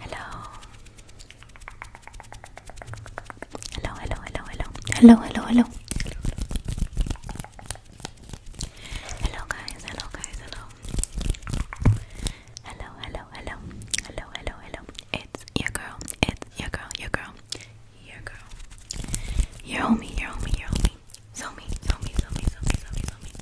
Hello. Hello, hello, hello, hello. Hello, hello, hello. Hello guys, hello guys, hello. Hello, hello, hello. Hello, hello, hello. It's your girl. It's your girl, your girl. Your girl. Your homie, your homie, your homie. So me, so me, so me, so me, so me, so me.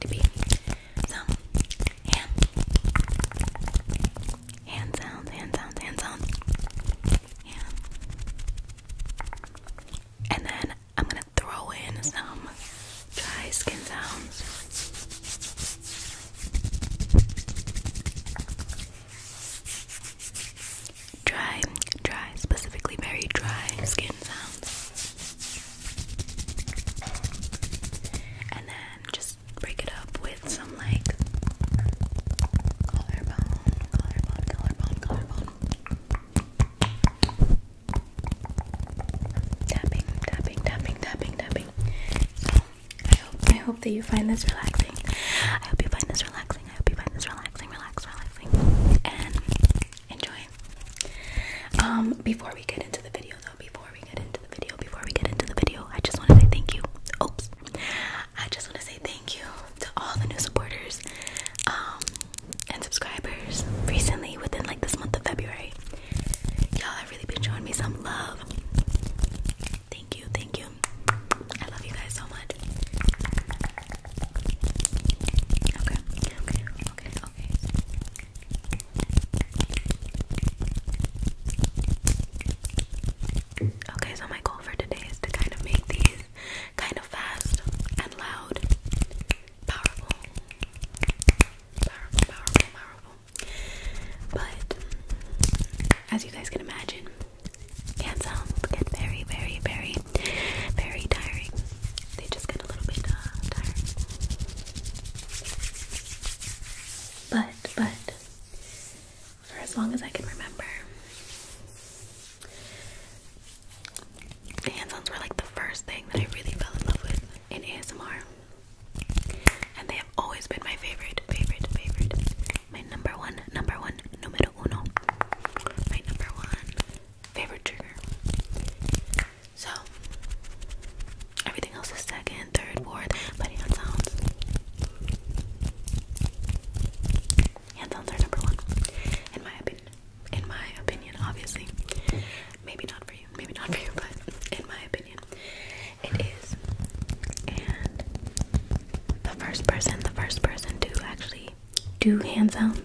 to be some hand, hand sounds, hand sounds, and then I'm gonna throw in some dry skin sounds. Dry, dry, specifically very dry skin sounds. And then just break it up with some like collarbone, collarbone, collarbone, collarbone. Tapping, tapping, tapping, tapping, tapping. So I hope I hope that you find this relaxing. I hope you find this relaxing. I hope you find this relaxing, relax, relaxing. And enjoy. Um, before we get into the video, though, before we get into the video, before we get into the video, I just want to say thank you. Oops, I just want to say thank you to all the new supporters, um, and subscribers recently within like this month of February. Y'all have really been showing me some love. Thank you, thank you. I love you guys so much. Okay, okay, okay, Okay. so my goal for today is to kind of make these kind of fast and loud, powerful, powerful, powerful, powerful. But as you guys can imagine, hand sounds very, very, very very tiring. They just get a little bit uh, tiring. But, but, for as long as I can remember, hands-ons were like the first thing that I really fell in love with in ASMR. And they have always been my favorite, favorite, favorite. My number one, number one, numero uno. My number one favorite trigger. So everything else is second, third, fourth, but hand sounds. Hand sounds are number one. In my opinion. In my opinion, obviously. Maybe not for you. Maybe not for you, but in my opinion. It is. And the first person, the first person to actually do hand sounds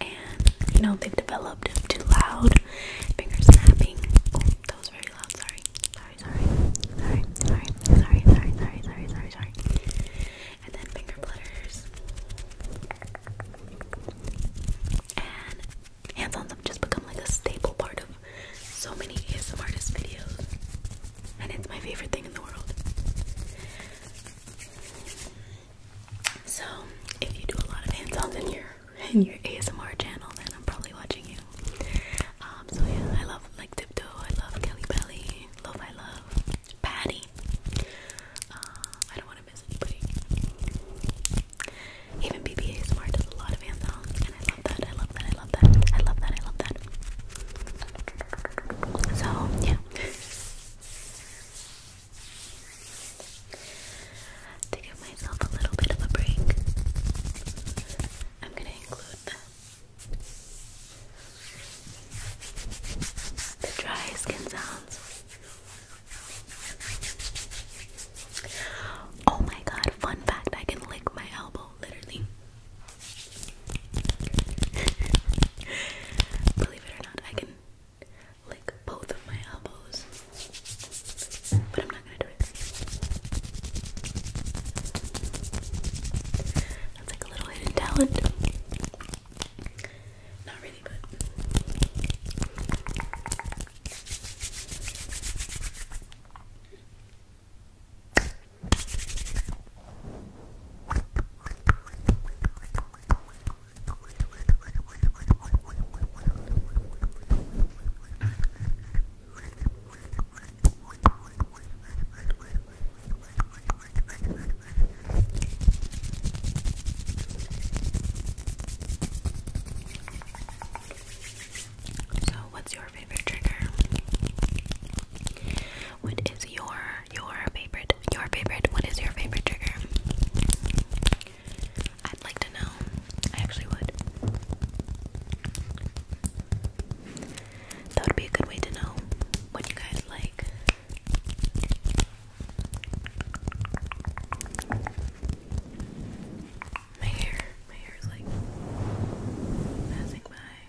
And you know they've developed to loud finger snapping. Oh, that was very loud. Sorry, sorry, sorry, sorry, sorry, sorry, sorry, sorry, sorry, sorry, And then finger flutters and hands-ons have just become like a staple part of so many ASMR artist videos, and it's my favorite thing in the world. So if you do a lot of hands-ons in your in your ASMR channel, then I'm probably watching you. Um, so yeah, I love like Tiptoe, I love Kelly Belly, Love I Love, Patty. Uh, I don't want to miss anybody. Even BB does a lot of hands-ons, and I love that. I love that. I love that. I love that. I love that. So yeah. To give myself a little bit of a break, I'm going to include the, dry skin sounds. Oh my god, fun fact I can lick my elbow, literally. Believe it or not, I can lick both of my elbows. But I'm not gonna do it. That's like a little hidden talent. Not really, but. So, what's your favorite trigger? What is your your favorite, your favorite, what is your favorite trigger? I'd like to know. I actually would. That would be a good way to know what you guys like. My hair, my hair is like passing by.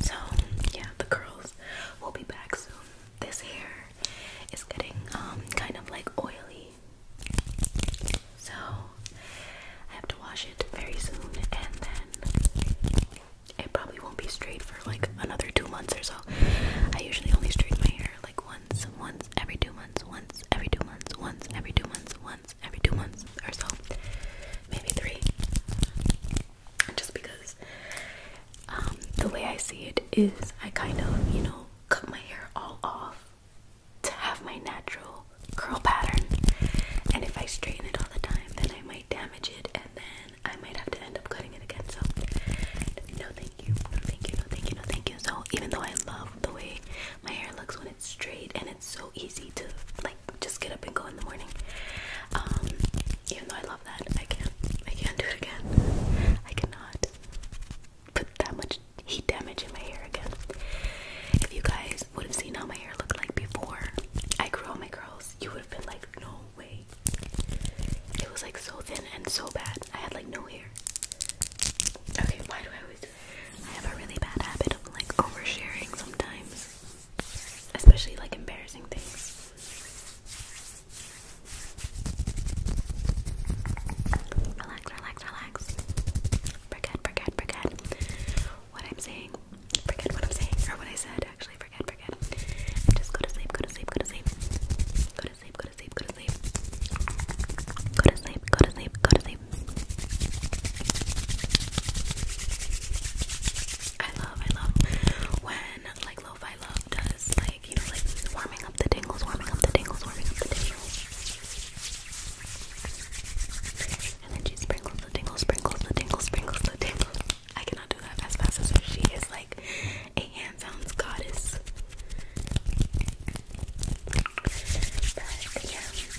So, yeah, the curls will be back soon. This hair is getting um, kind of like oily. So, I have to wash it very soon and then it probably won't be straight for like another 2 months or so. I usually only straighten my hair like once, once every 2 months, once every 2 months, once every 2 months, once every two months or so, maybe three. Just because um, the way I see it is, I kind of, you know, cut my hair all off to have my natural curl pattern. And if I straighten it all the time, then I might damage it and then I might have to end up cutting it again. So, no thank you, thank you, no thank you, no thank you. So, even though I love the way my hair looks when it's straight and it's so easy to like just get up and go in the morning. Um, even though I love that, I can't. I can't do it again. I cannot put that much heat damage in my hair again. If you guys would have seen how my hair looked like before I grew all my curls, you would have been like, no way. It was like so thin and so bad. I had like no hair. Okay, why do I always? do I have a really bad habit of like oversharing sometimes especially like embarrassing things. Relax, relax, relax. Forget, forget, forget what I'm saying. Forget what I'm saying or what I said. Actually, forget, forget. just Go to sleep. Go to sleep. Go to sleep. Go to sleep. Go to sleep. Go to sleep. Go to sleep. Go to sleep. I love, I love when like lo-fi love does like you know like warming up the tingles, warming up the tingles, warming up the tingles. And then she sprinkles the tingles, sprinkles the tingles, sprinkles the tingles. I cannot do that as fast as her. She is like a hand sounds goddess. But yeah,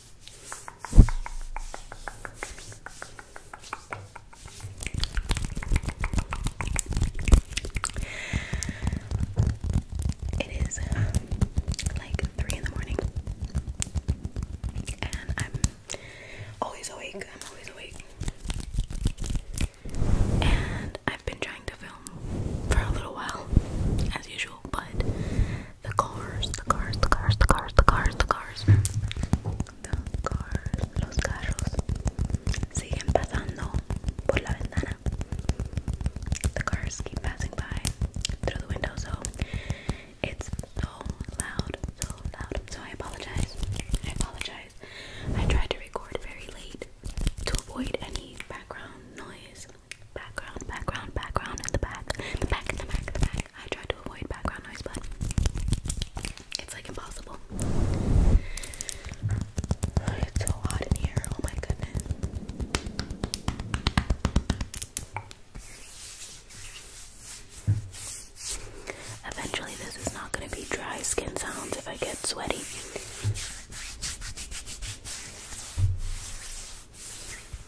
It is like three in the morning, and I'm always awake. I'm always awake, and I've been trying to film for a little while, as usual, but the cars, the cars, the cars, the cars, the cars, the cars, the cars, The cars keep passing by through the window, it's so loud, so loud. So I apologize. I apologize. I tried to record very late to avoid any background noise background, background, background in the back, the back, the back, the back. I try to avoid background noise, but it's like impossible. It's so hot in here. Oh my goodness. Eventually, this is not going to be dry skin sounds if I get sweaty.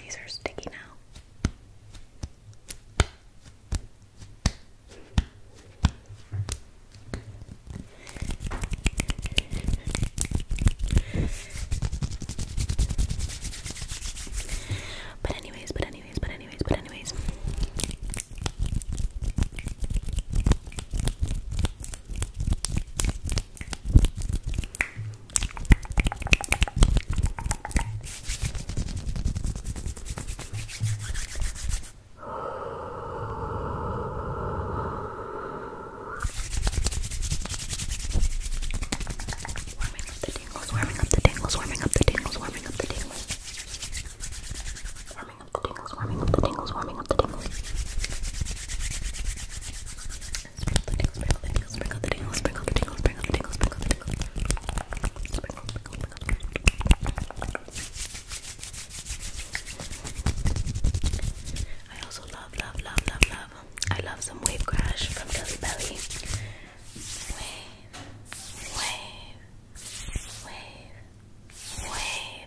These are sticky now. But anyways, but anyways, but anyways, but anyways. Warming up the tingles, warming up the tingles, warming up the tingles, warming up the tingles. Warming up the tingles, warming up the tingles, warming up the tingles. Sprinkle sprinkle sprinkle sprinkle sprinkle sprinkle I also love, love, love, love, love. I love some wave crash from Belly. Wave, wave, wave, wave.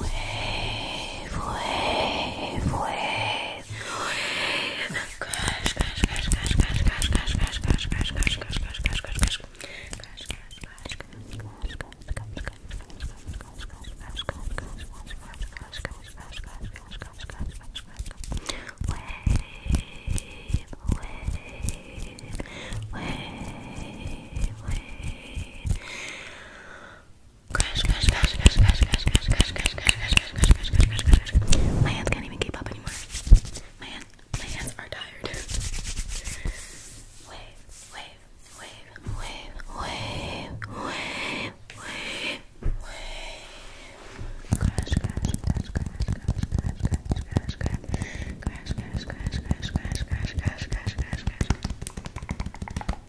Wave, wave, wave. Crash, crash, crash, crash, crash, crash, crash, crash, crash, crash, crash, crash, crash, crash, crash, crash. Wave, wave, wave. Crash, crash, crash, crash, crash, crash, crash, crash, crash, crash, crash, crash, crash, crash, crash. My hands can't even keep up anymore. My hands, my hands are tired. Wave, wave, wave, wave, wave, wave, wave, wave. Crash, crash, crash, crash, crash, crash, crash, crash, crash, crash, crash, crash, crash, crash, crash, crash, crash, crash, crash, crash.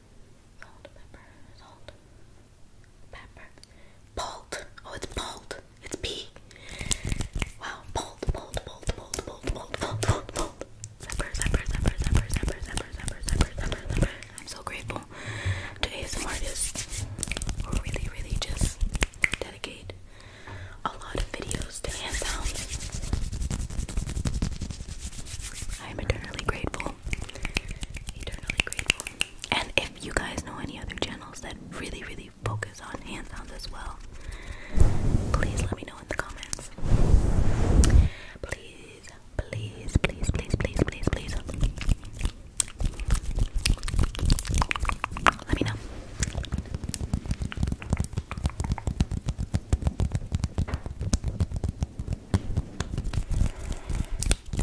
salt, pepper, salt, pepper, bolt. Oh, it's bolt. It's P. Wow, bolt, bolt, bolt, bolt, bolt, bolt, bolt, bolt, bolt. Zepper, zepper, zepper, zepper, zepper, zepper, zepper, zepper, zepper, zepper. I'm so grateful to ASM artists who really, really just dedicate a lot of videos to hand sounds. I am eternally grateful and if you guys know any other channels that really, really focus on hand sounds as well, please let me know in the comments. please, please, please, please, please, please. Let me know.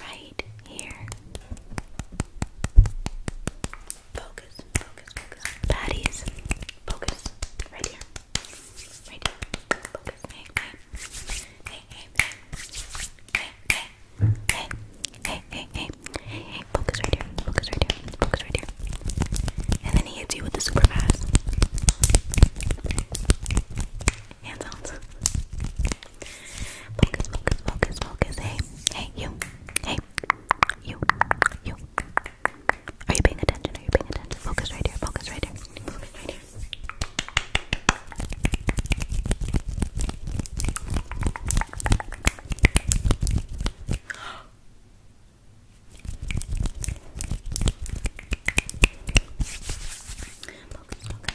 right here. Focus, focus, focus. Patties, focus. Right here. Right here. Focus. Hey, hey. Hey, hey, hey. Hey, hey. Hey, hey, hey. Hey, hey. Focus right here. Focus right here. Focus right here. And then he hits you with the super fast. Hand sounds. Focus, focus, focus, focus. Hey, hey, you. Hey, you. You. Are you paying attention? Are you paying attention? Focus right here. Focus right here. Focus right here. Focus, focus,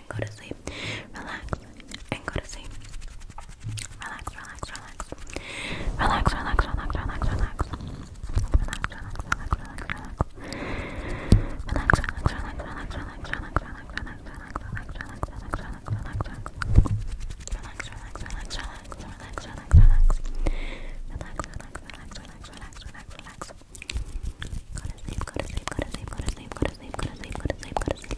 and go to sleep. Relax and go to sleep. Relax, relax, relax. Relax, relax, relax, relax, relax. Relax, relax, relax, relax, relax. Relax, relax, relax, relax, relax, relax, relax, relax, relax, relax, relax, relax, relax. Relax, relax, relax, relax, relax, relax, relax. Relax, relax, relax, relax, relax, relax, relax. Go to sleep, go to sleep, go to sleep, go to sleep, go to sleep, go to sleep, go to sleep, go to sleep,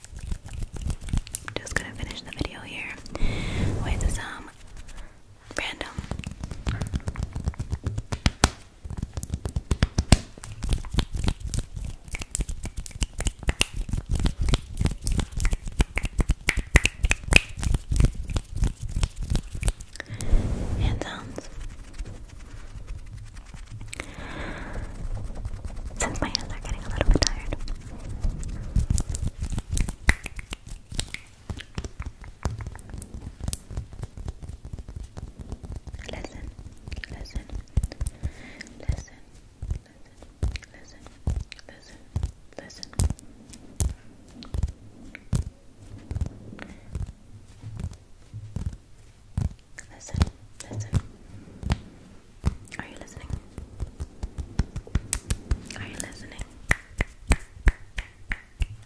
I'm just gonna finish the video here with some random hand sounds. Since my hands are getting a little bit tired, Listen, listen, listen, listen, listen, listen, listen. Listen, listen, are you listening? Are you listening?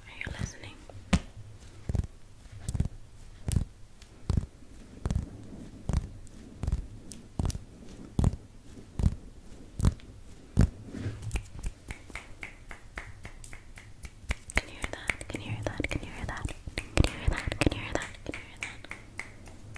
Are you listening? Can you hear that? Can you hear that? Can you hear that? Can you hear that? Can you hear that? Can you hear that? Can you hear that?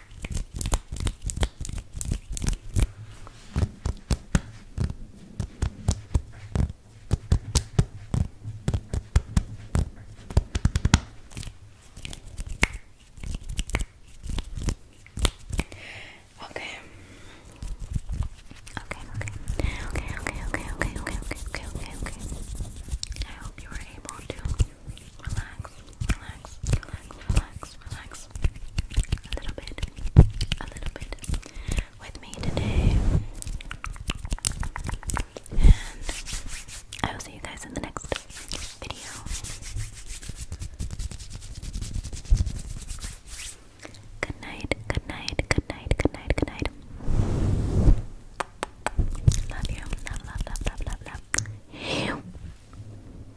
Okay. Okay, okay. Okay, okay, okay, okay, okay, okay, okay, I hope you were able to relax relax, relax, relax, relax a little bit, a little bit with me today. And I will see you guys in the next video. Good night, good night, good night, good night, good night. Love you. Love, love, love, love, love, love.